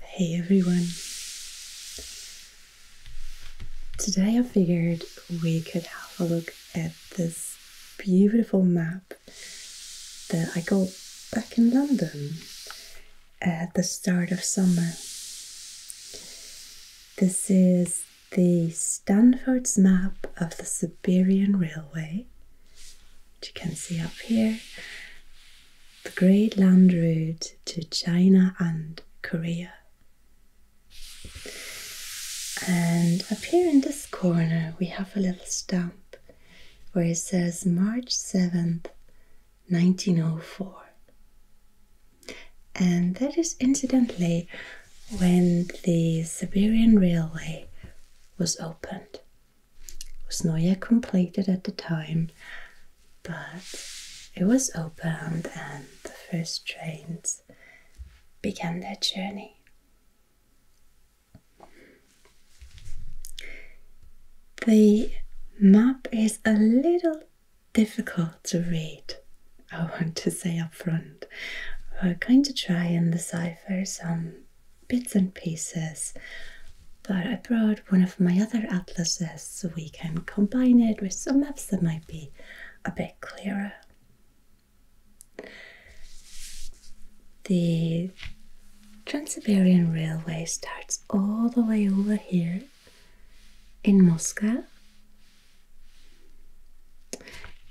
Hey everyone! Today I figured we could have a look at this beautiful map that I got back in London at the start of summer. This is the Stanford's map of the Siberian Railway you can see up here, the Great Land Route to China and Korea. And up here in this corner, we have a little stamp where it says March 7th, 1904. And that is incidentally when the Siberian Railway was opened was not yet completed at the time, but it was opened and the first trains began their journey. The map is a little difficult to read, I want to say up front. We're going to try and decipher some bits and pieces. But I brought one of my other atlases so we can combine it with some maps that might be a bit clearer. The Trans Siberian Railway starts all the way over here in Moscow.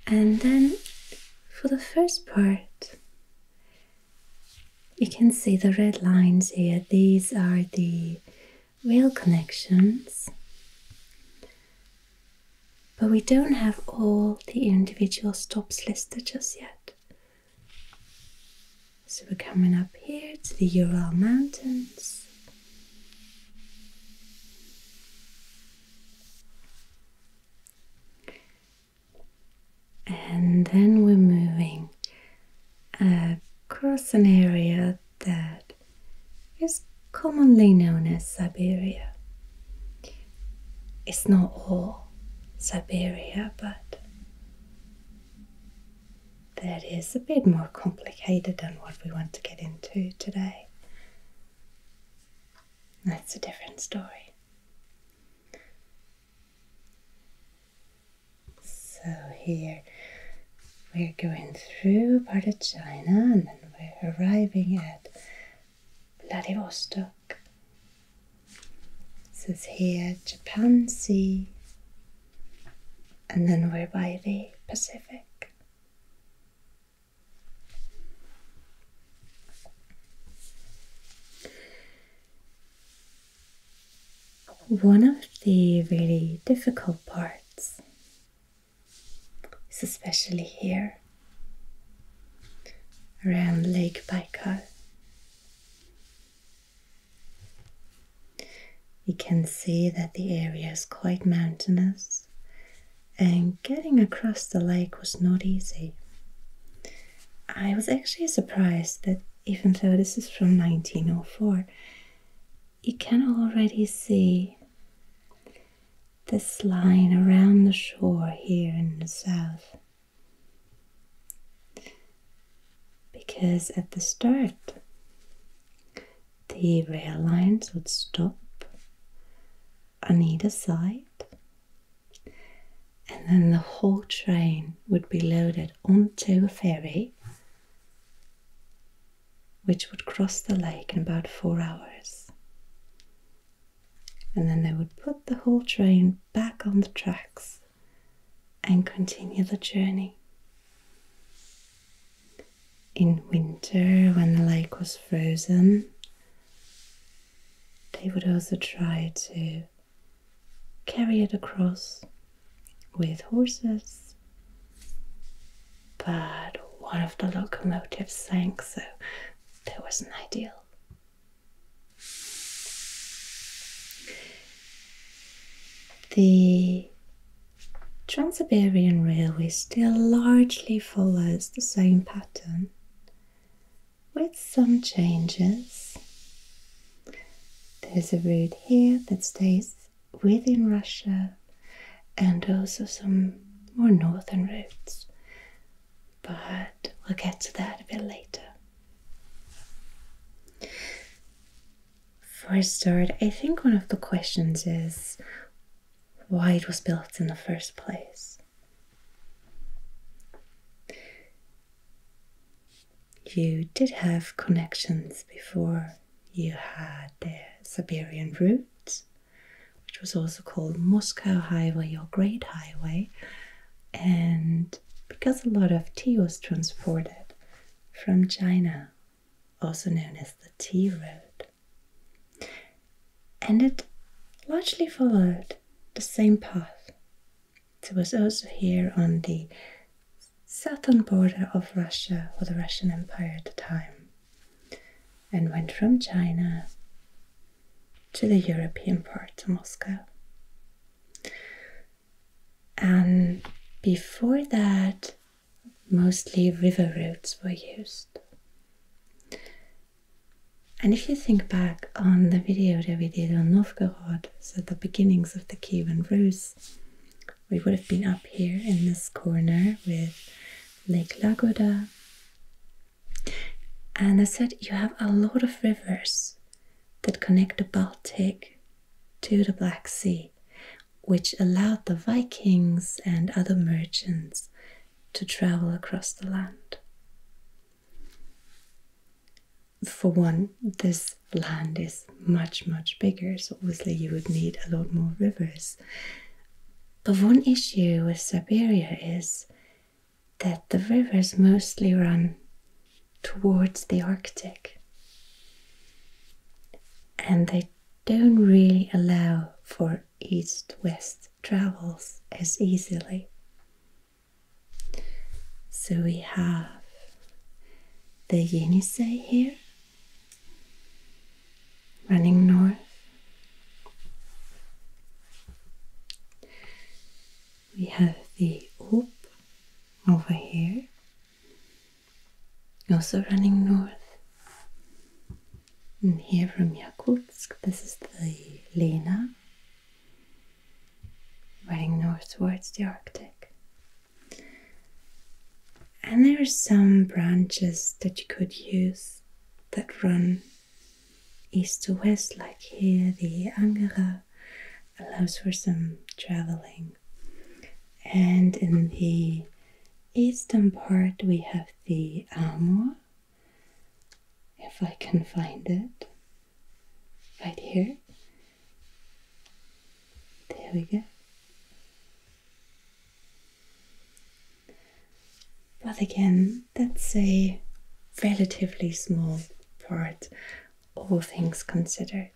And then for the first part, you can see the red lines here, these are the rail connections. But we don't have all the individual stops listed just yet. So we're coming up here to the Ural Mountains and then we're moving across an area that is commonly known as Siberia. It's not all Siberia, but that is a bit more complicated than what we want to get into today. That's a different story. So here we're going through part of China and then we're arriving at Vladivostok. This is here Japan Sea and then we're by the Pacific. One of the really difficult parts is especially here around Lake Baikal. You can see that the area is quite mountainous and getting across the lake was not easy. I was actually surprised that even though this is from 1904, you can already see this line around the shore here in the south. Because at the start, the rail lines would stop on either side and then the whole train would be loaded onto a ferry which would cross the lake in about four hours. And then they would put the whole train back on the tracks and continue the journey. In winter, when the lake was frozen, they would also try to carry it across with horses. But one of the locomotives sank, so that wasn't ideal. The Trans Siberian Railway still largely follows the same pattern with some changes. There's a route here that stays within Russia and also some more northern routes, but we'll get to that a bit later. For a start, I think one of the questions is why it was built in the first place. You did have connections before you had the Siberian route, which was also called Moscow Highway or Great Highway, and because a lot of tea was transported from China, also known as the Tea Road and it largely followed the same path. It was also here on the southern border of Russia or the Russian Empire at the time, and went from China to the European part, of Moscow. And before that, mostly river routes were used. And if you think back on the video that we did on Novgorod, so the beginnings of the Kievan Rus, we would have been up here in this corner with Lake Lagoda. And I said you have a lot of rivers that connect the Baltic to the Black Sea, which allowed the Vikings and other merchants to travel across the land. For one, this land is much, much bigger, so obviously you would need a lot more rivers. But one issue with Siberia is that the rivers mostly run towards the Arctic. And they don't really allow for east west travels as easily. So we have the Yenisei here running north. We have the Oop over here, also running north. And here from Yakutsk, this is the Lena, running north towards the Arctic. And there are some branches that you could use that run east to west, like here the Angara allows for some traveling. And in the eastern part, we have the Amur, if I can find it. Right here. There we go. But again, that's a relatively small part, all things considered.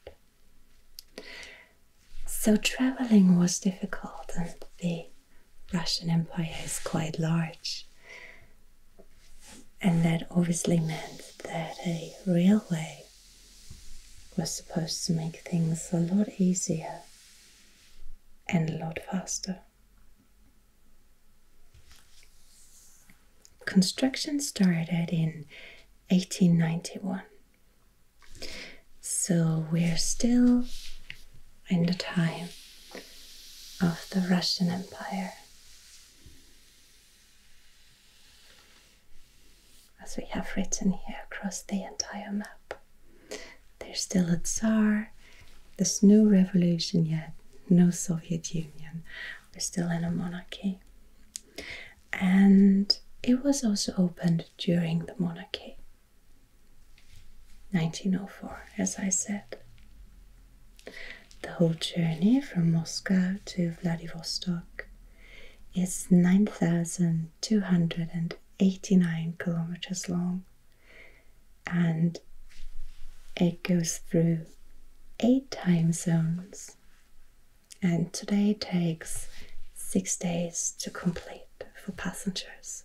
So traveling was difficult, and the Russian Empire is quite large. And that obviously meant that a railway was supposed to make things a lot easier and a lot faster. Construction started in 1891, so we're still in the time of the Russian Empire. As we have written here across the entire map, there's still a Tsar, there's no revolution yet, no Soviet Union, we're still in a monarchy. And it was also opened during the monarchy. 1904, as I said. The whole journey from Moscow to Vladivostok is 9,289 kilometers long and it goes through eight time zones and today takes six days to complete for passengers.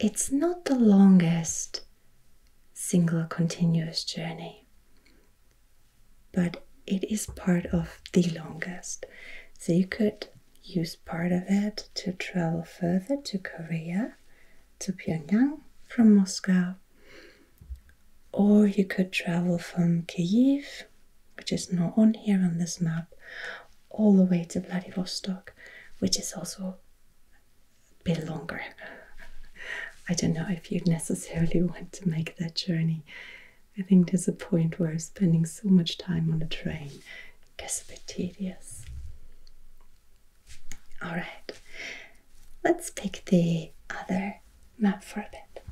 It's not the longest single continuous journey, but it is part of the longest. So you could use part of it to travel further to Korea, to Pyongyang from Moscow, or you could travel from Kyiv which is not on here on this map, all the way to Vladivostok, which is also a bit longer. I don't know if you would necessarily want to make that journey. I think there's a point where spending so much time on a train gets a bit tedious. Alright, let's pick the other map for a bit.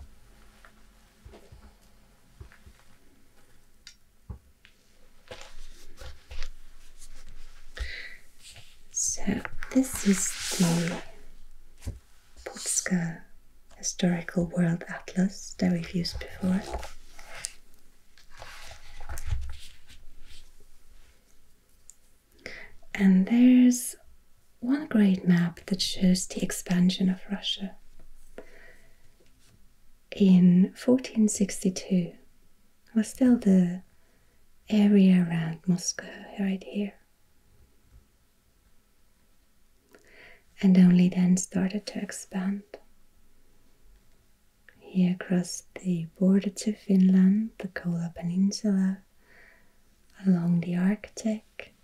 So, this is the Polska Historical World Atlas that we've used before. And there's one great map that shows the expansion of Russia in 1462 was still the area around Moscow, right here. And only then started to expand. He crossed the border to Finland, the Kola Peninsula, along the Arctic,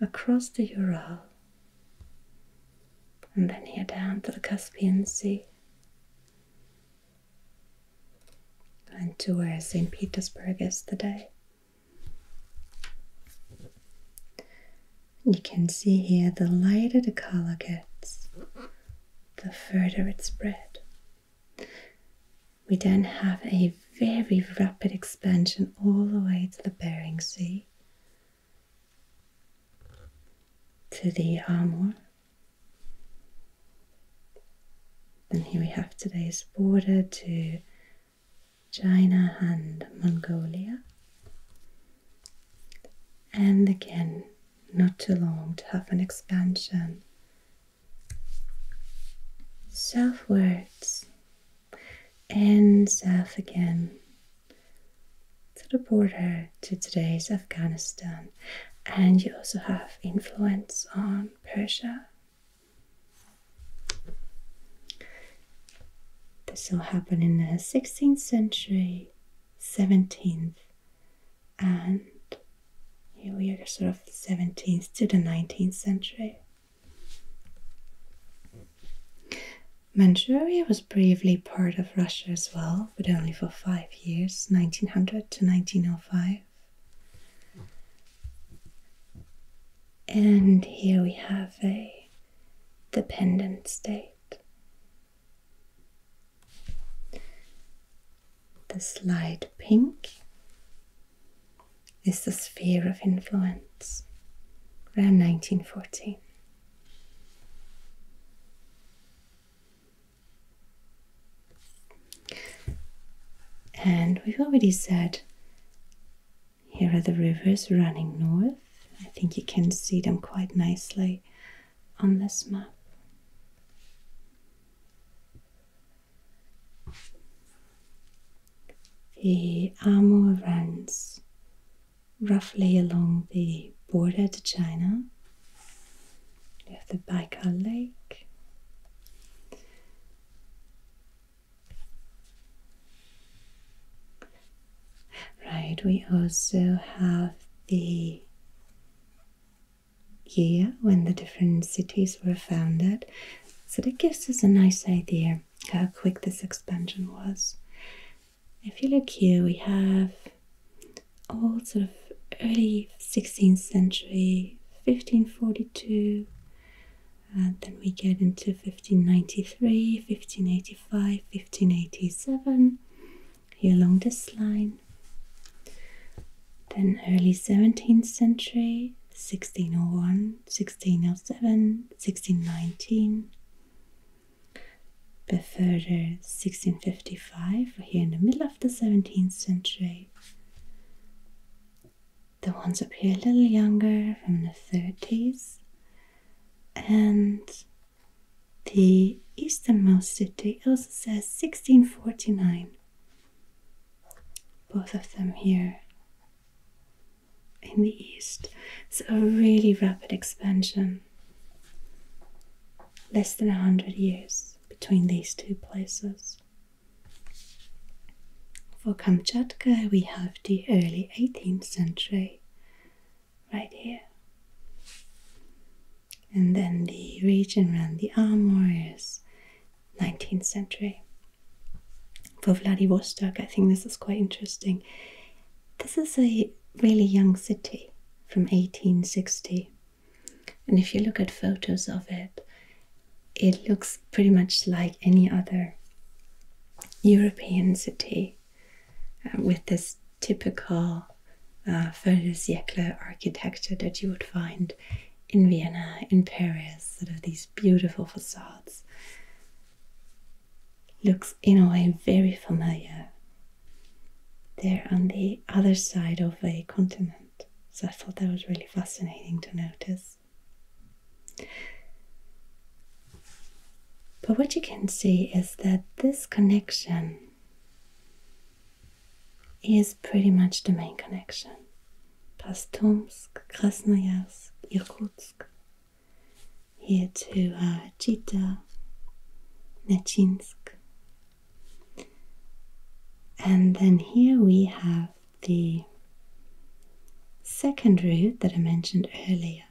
across the Ural, and then here down to the Caspian Sea, and to where St. Petersburg is today. You can see here the lighter the color gets, the further it spread. We then have a very rapid expansion all the way to the Bering Sea to the armor. And here we have today's border to China and Mongolia. And again, not too long to have an expansion. southwards and south again to the border to today's Afghanistan. And you also have influence on Persia. This will happen in the 16th century, 17th, and here we are sort of 17th to the 19th century. Manchuria was briefly part of Russia as well, but only for five years, 1900 to 1905. And here we have a dependent state. The light pink is the sphere of influence around 1914. And we've already said here are the rivers running north. I think you can see them quite nicely on this map the Amur runs roughly along the border to China. You have the Baikal Lake. Right, we also have the year when the different cities were founded. So that gives us a nice idea how quick this expansion was. If you look here, we have all sort of early 16th century, 1542, and then we get into 1593, 1585, 1587, here along this line. Then early 17th century, 1601, 1607, 1619, but further 1655, here in the middle of the 17th century. The ones up here a little younger from the 30s, and the easternmost city also says 1649. Both of them here in the east. So, a really rapid expansion. Less than 100 years between these two places. For Kamchatka, we have the early 18th century right here. And then the region around the Amur is 19th century for Vladivostok. I think this is quite interesting. This is a really young city from 1860. And if you look at photos of it, it looks pretty much like any other European city uh, with this typical uh, Völzjäckler architecture that you would find in Vienna, in Paris, sort of these beautiful facades looks in a way very familiar. They're on the other side of a continent, so I thought that was really fascinating to notice. But what you can see is that this connection is pretty much the main connection. Pastomsk, Krasnoyarsk, Irkutsk, here to uh, Chita, Nechinsk. And then here we have the second route that I mentioned earlier.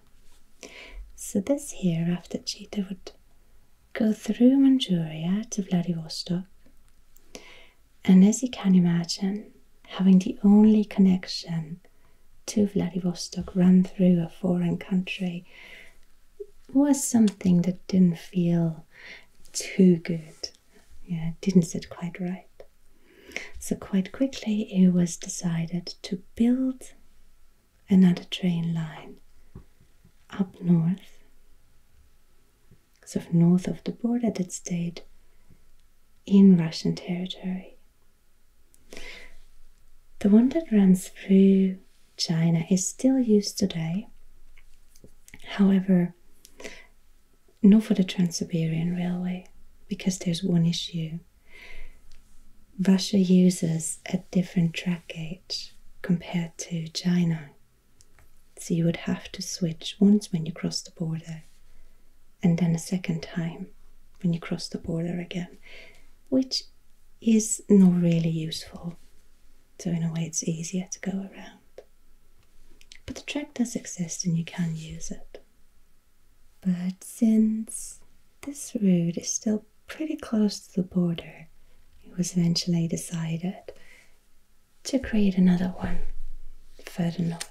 So this here, after Chita, would go through Manchuria to Vladivostok and as you can imagine, having the only connection to Vladivostok run through a foreign country was something that didn't feel too good. Yeah, didn't sit quite right. So, quite quickly, it was decided to build another train line up north, so north of the border that stayed in Russian territory. The one that runs through China is still used today. However, not for the Trans Siberian Railway, because there's one issue. Russia uses a different track gauge compared to China. So you would have to switch once when you cross the border and then a second time when you cross the border again, which is not really useful. So, in a way, it's easier to go around. But the track does exist and you can use it. But since this road is still pretty close to the border, it was eventually decided to create another one further north.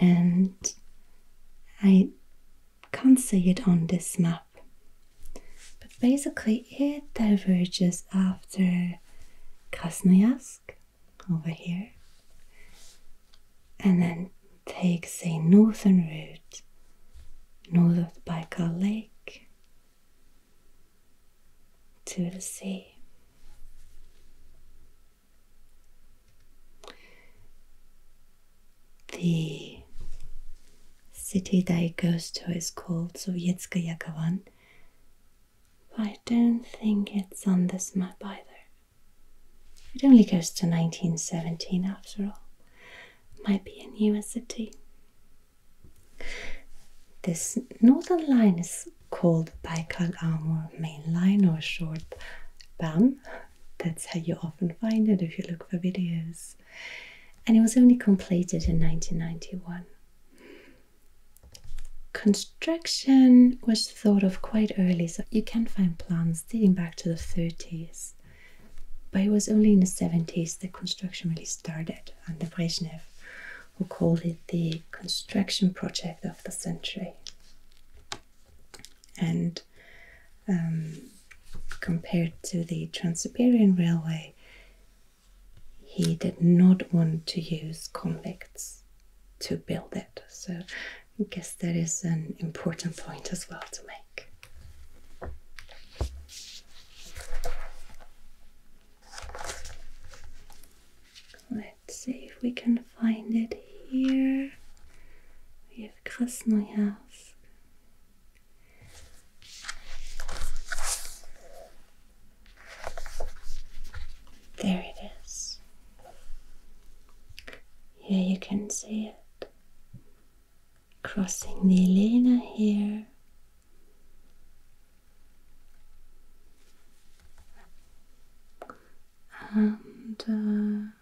And I can't see it on this map, but basically it diverges after Krasnoyarsk over here and then takes a northern route north of Baikal Lake to the sea. The city that it goes to is called Sovietskaya Kavan, I don't think it's on this map either. It only goes to 1917 after all. Might be a newer city. This northern line is is called Baikal Amur mainline or short BAM. That's how you often find it if you look for videos. And it was only completed in 1991. Construction was thought of quite early, so you can find plans dating back to the 30s. But it was only in the 70s that construction really started under Brezhnev who called it the construction project of the century. And um, compared to the Trans Siberian Railway, he did not want to use convicts to build it. So I guess that is an important point as well to make. Let's see if we can find it here. We have Krasnoyarsk. There it is. Here you can see it. Crossing the Elena here and uh,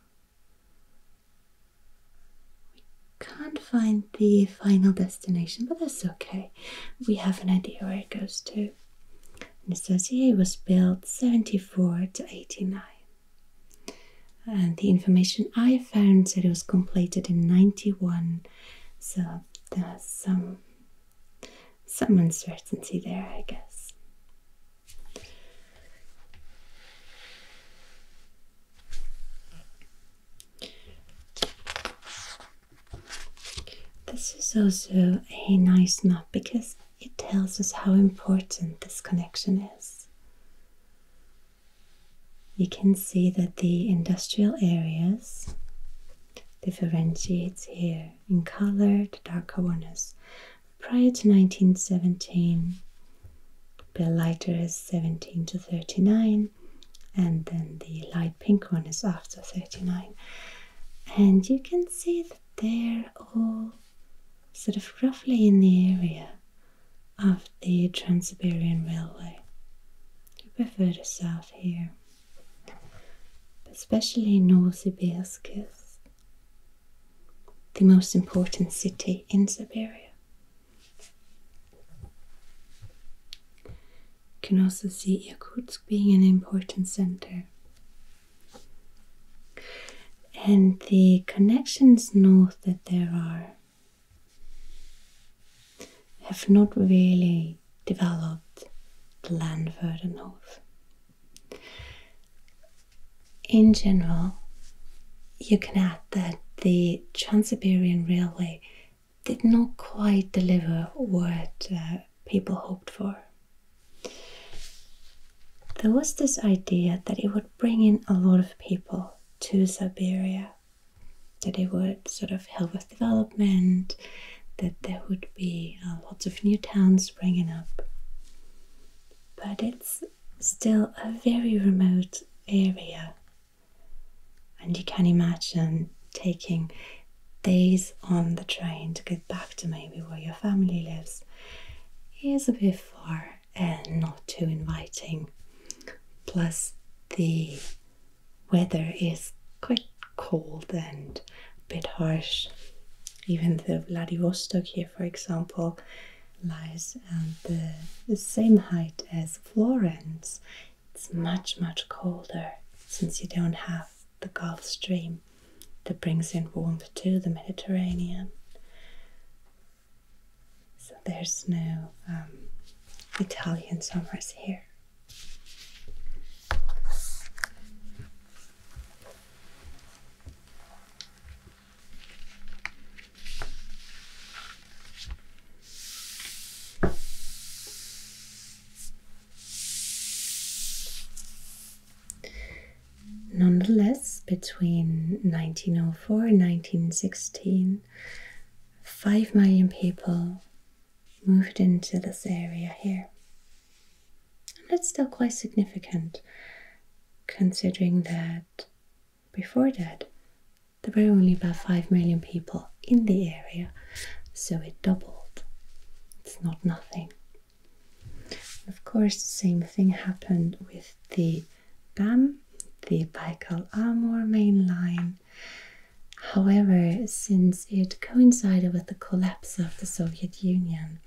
we can't find the final destination, but that's okay. We have an idea where it goes to. The Nicosia was built 74 to 89, and the information I found said it was completed in 91. So there's some um, some uncertainty there, I guess. This is also a nice map because it tells us how important this connection is. You can see that the industrial areas differentiates here in color to dark Havanas. Prior to 1917, the lighter is 17 to 39, and then the light pink one is after 39. And you can see that they're all sort of roughly in the area of the Trans Siberian Railway. A bit further south here especially Novosibirsk is the most important city in Siberia. You can also see Yakutsk being an important center. And the connections north that there are have not really developed the Landverdenhof. In general, you can add that the Trans Siberian Railway did not quite deliver what uh, people hoped for. There was this idea that it would bring in a lot of people to Siberia that it would sort of help with development, that there would be uh, lots of new towns springing up. But it's still a very remote area, and you can imagine taking days on the train to get back to maybe where your family lives is a bit far and not too inviting. Plus, the weather is quite cold and a bit harsh. Even though Vladivostok here, for example, lies at the, same height as Florence. It's much, much colder since you don't have the Gulf Stream that brings in warmth to the Mediterranean. So there's no um, Italian summers here. Nonetheless, between 1904 and 1916, 5 million people moved into this area here. And that's still quite significant considering that before that there were only about 5 million people in the area, so it doubled. It's not nothing. of course, the same thing happened with the BAM, the Baikal Amur main line, However, since it coincided with the collapse of the Soviet Union,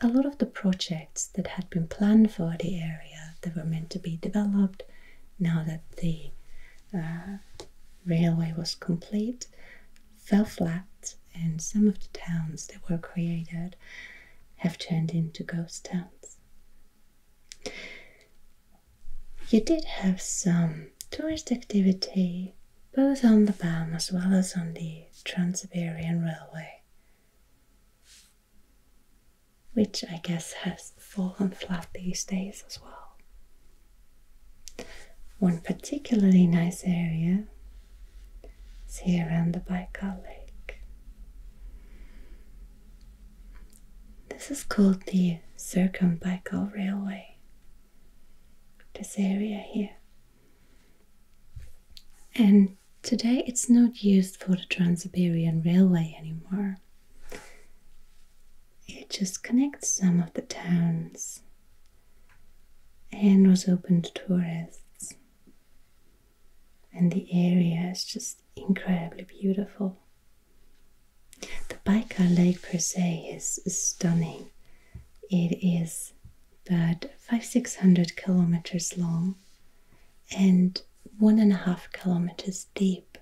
a lot of the projects that had been planned for the area that were meant to be developed now that the uh, railway was complete fell flat, and some of the towns that were created have turned into ghost towns. You did have some tourist activity both on the BAM as well as on the Trans Siberian Railway, which I guess has fallen flat these days as well. One particularly nice area is here around the Baikal Lake. This is called the Circumbical Railway. This area here. And today it's not used for the Trans Siberian Railway anymore. It just connects some of the towns and was open to tourists. And the area is just incredibly beautiful. The Baikal Lake per se is stunning. It is about five six hundred kilometers long and one and a half kilometers deep.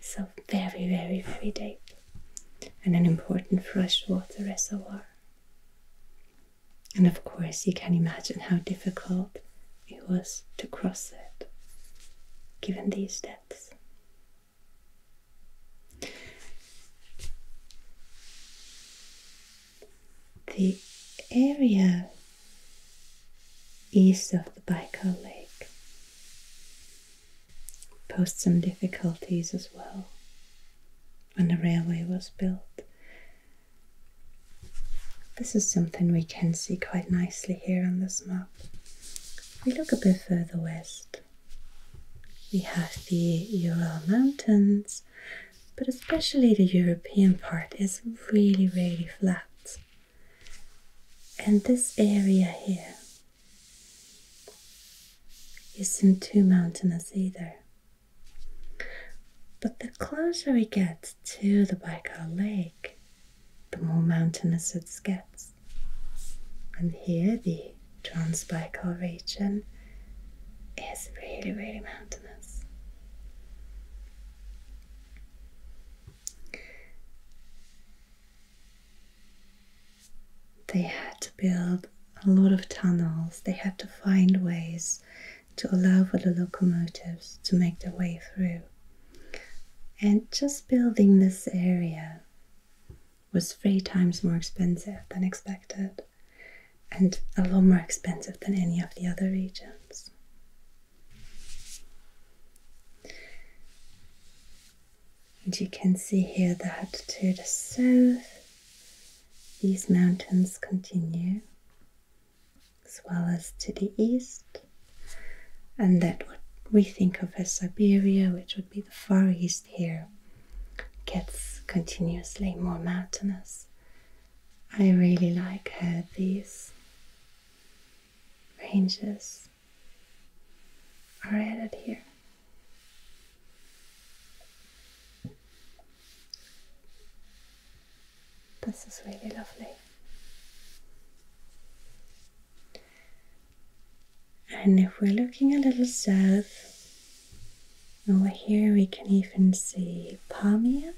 So very, very, very deep. And an important freshwater reservoir. And of course, you can imagine how difficult it was to cross it, given these depths. The area east of the Baikal Lake posed some difficulties as well when the railway was built. This is something we can see quite nicely here on this map if we look a bit further west, we have the Ural Mountains, but especially the European part is really, really flat. And this area here isn't too mountainous either. But the closer we get to the Baikal Lake, the more mountainous it gets. And here, the Transbaikal region is really, really mountainous. They had to build a lot of tunnels, they had to find ways to allow for the locomotives to make their way through. And just building this area was three times more expensive than expected, and a lot more expensive than any of the other regions. And you can see here that to the south, these mountains continue as well as to the east, and that what we think of as Siberia, which would be the far east here, gets continuously more mountainous. I really like how these ranges are added here. This is really lovely. And if we're looking a little south, over here we can even see Palmia.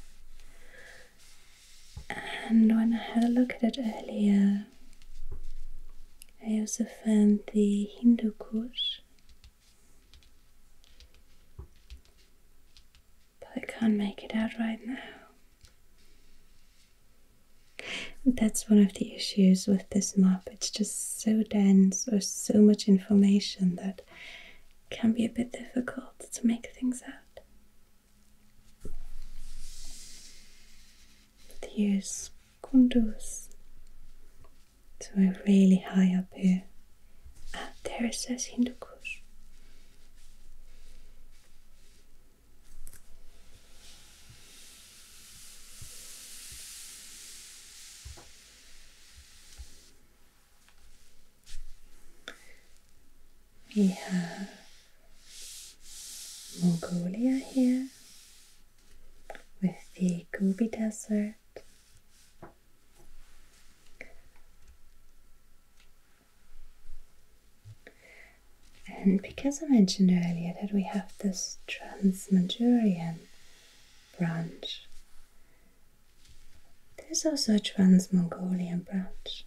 And when I had a look at it earlier, I also found the Hindu Kush but I can't make it out right now. That's one of the issues with this map. It's just so dense or so much information that can be a bit difficult to make things out. But here's Kunduz. So we're really high up here. Ah, there it says Hindu Kush. We have Mongolia here with the Gobi Desert. And because I mentioned earlier that we have this Trans mongolian branch, there's also a Trans Mongolian branch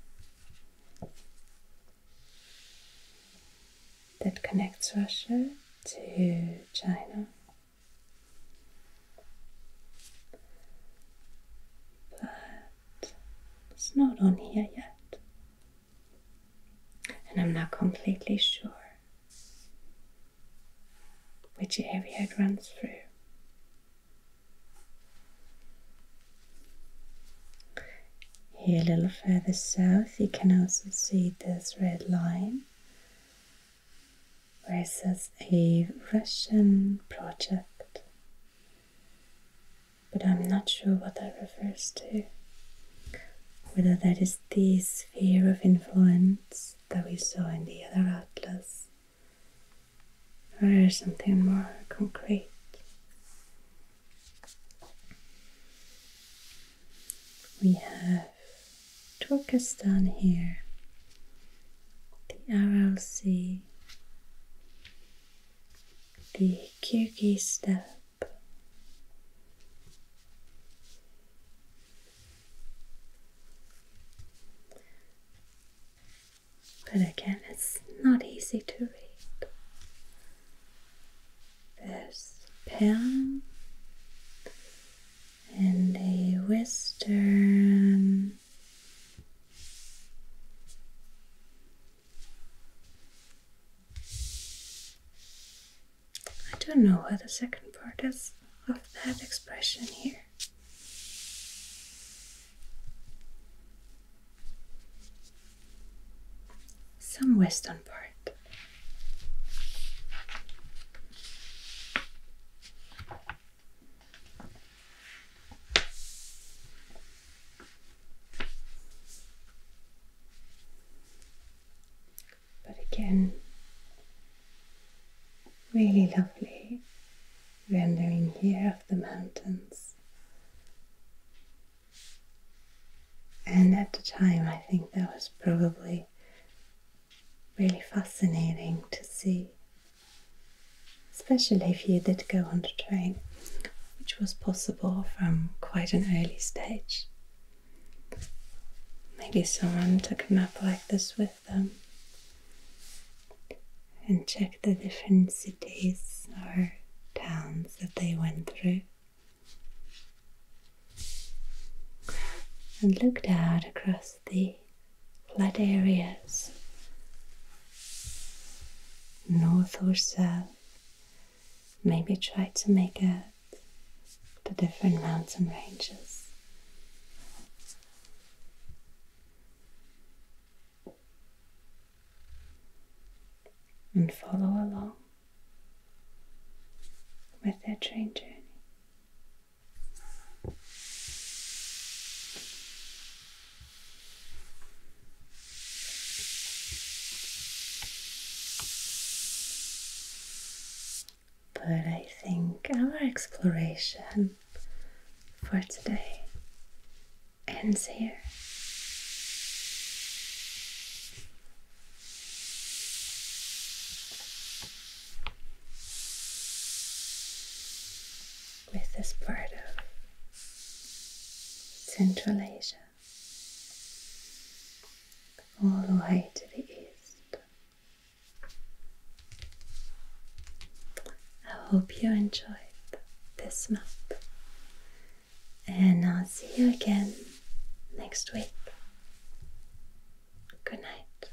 that connects Russia to China. It's not on here yet. And I'm not completely sure which area it runs through. Here, a little further south, you can also see this red line where it says a Russian project but I'm not sure what that refers to. Whether that is the sphere of influence that we saw in the other atlas, or is something more concrete. We have Turkestan here, the Aral Sea, the Kyrgyz step, But again, it's not easy to read. This pen and a western I don't know what the second part is of that expression here. Some western part. But again, really lovely rendering here of the mountains. And at the time, I think that was probably really fascinating to see especially if you did go on the train, which was possible from quite an early stage. Maybe someone took a map like this with them and checked the different cities or towns that they went through. And looked out across the Flat areas, north or south. Maybe try to make out the different mountain ranges. And follow along with their train journey. But I think our exploration for today ends here with this part of Central Asia, all the way to the east. I hope you enjoyed this map, and I'll see you again next week. Good night.